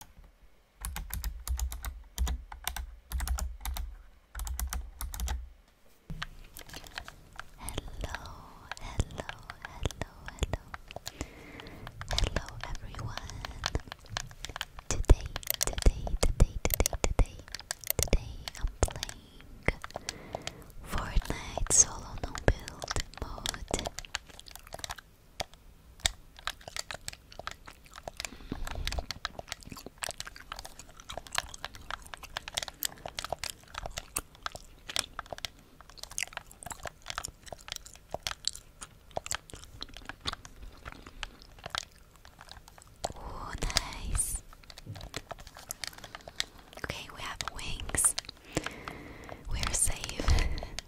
Hello, hello, hello, hello. Hello everyone. Today, today, today, today, today, today I'm playing Fortnite solo no build mode. Oh, nice. Okay, we have wings. We're safe.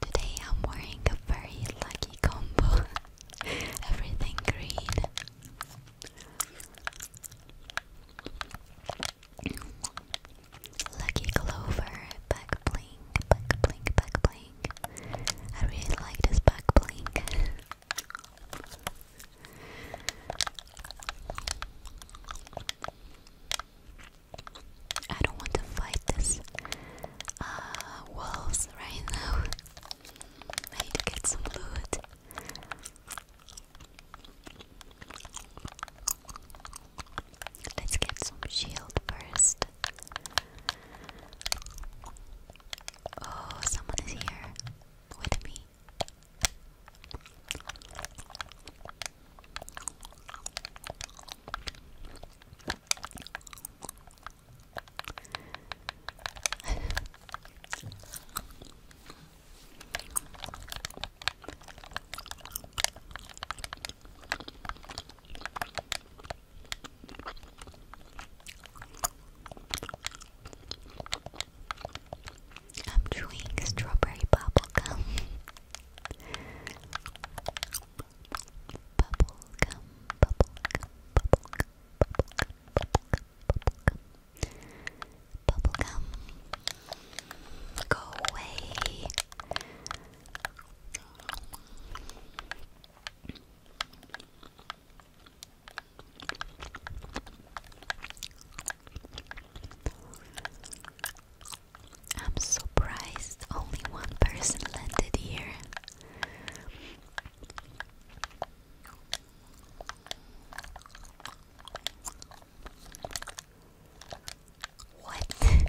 Today I'm wearing a very lucky combo. Everything green. Lucky Clover, back blink, back blink, back blink. I really like this back blink. I don't want to fight this uh, wolves right now. I need get some loot. Let's get some shield first. Oh, someone is here with me. I'm chewing strawberry gum. Bubble gum. Bubble gum. Bubble gum. Go away. I'm surprised only one person landed here. What?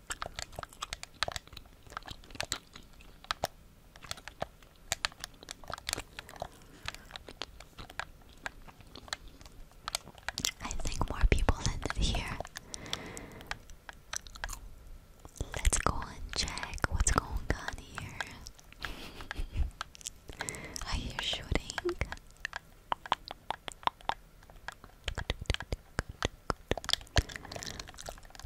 I think more people landed here. Let's go and check what's going on here. I hear shooting.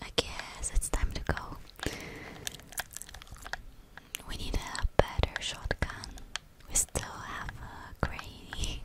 I guess it's time to go. We need a better shotgun. We still have a granny.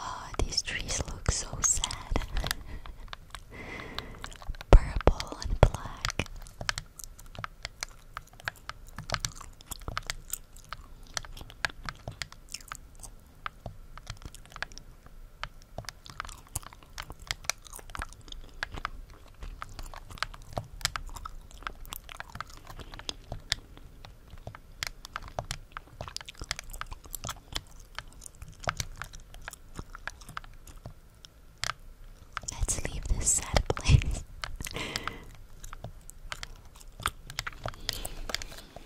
Oh, these trees look so sad. Purple and black. Let's leave this sad place.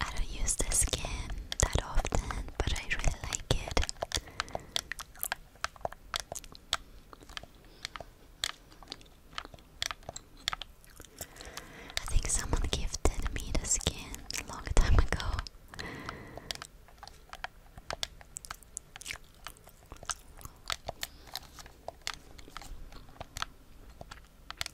I don't use this skin that often, but I really like it. I think someone gifted me the skin a long time ago.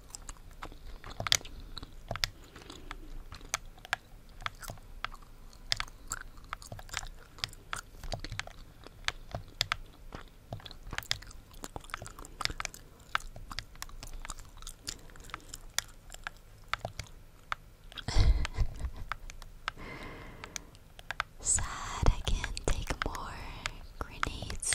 Sad, I can't take more grenades.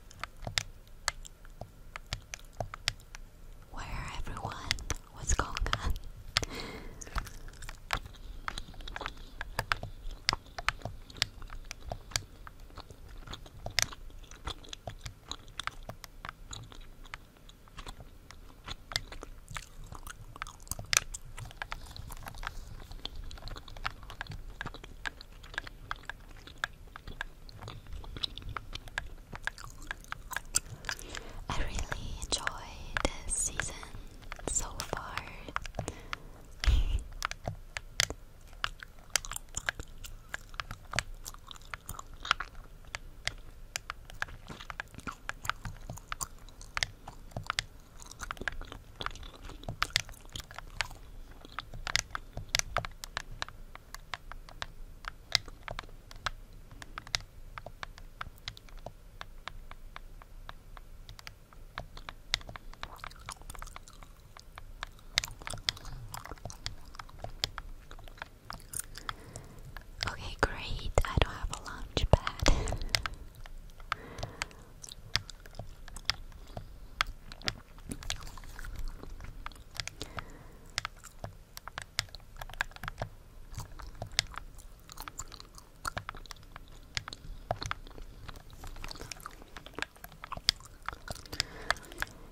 Where everyone? What's going on? I really enjoy this season so far. Okay, great. I don't have a lunch pad.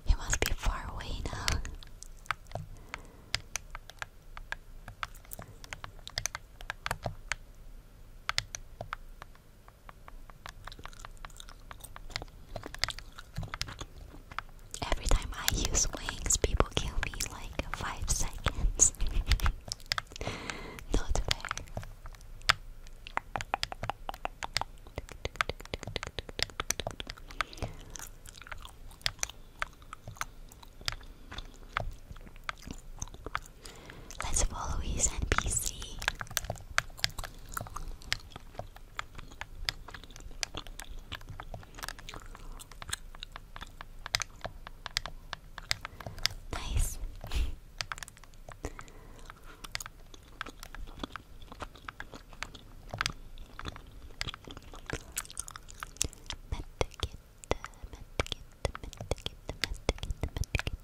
You must be far away now. Every time I use wings, people kill me like 5 seconds. Not fair. Let's follow his NPC. Nice.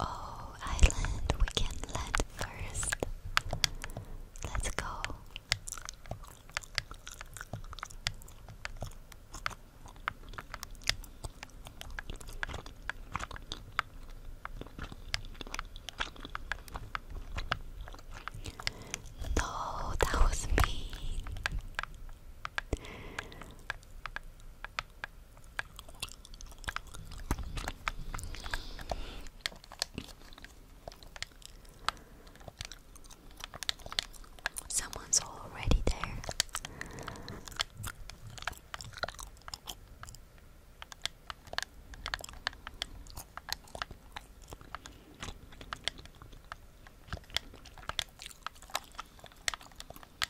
Oh, island, we can land first. Let's go. No, that was me. Someone's already there.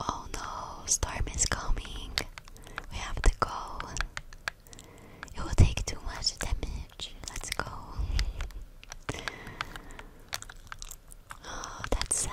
Oh no, storm is coming. We have to go. It will take too much damage. Let's go. Oh, that's sad.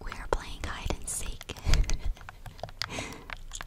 We are playing hide and seek.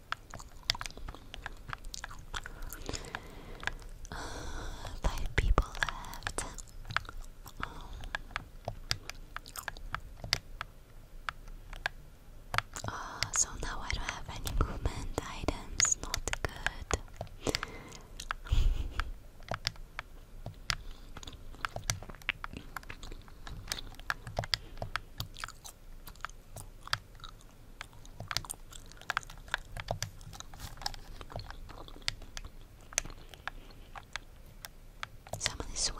Uh, five people left. Uh, so now I don't have any movement items, not good. Someone swimming.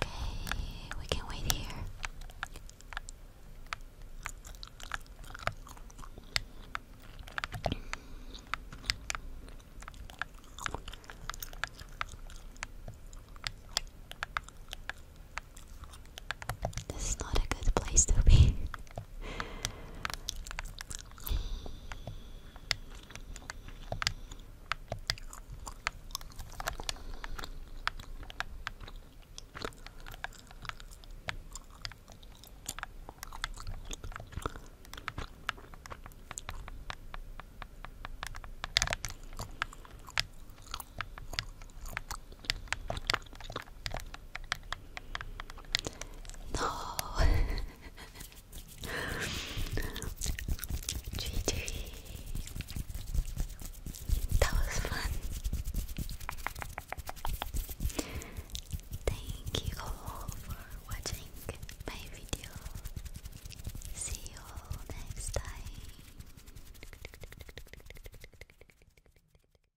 Okay, we can wait here. This is not a good place to be. No. GG. That was fun. Thank you all for watching my video. See you next time.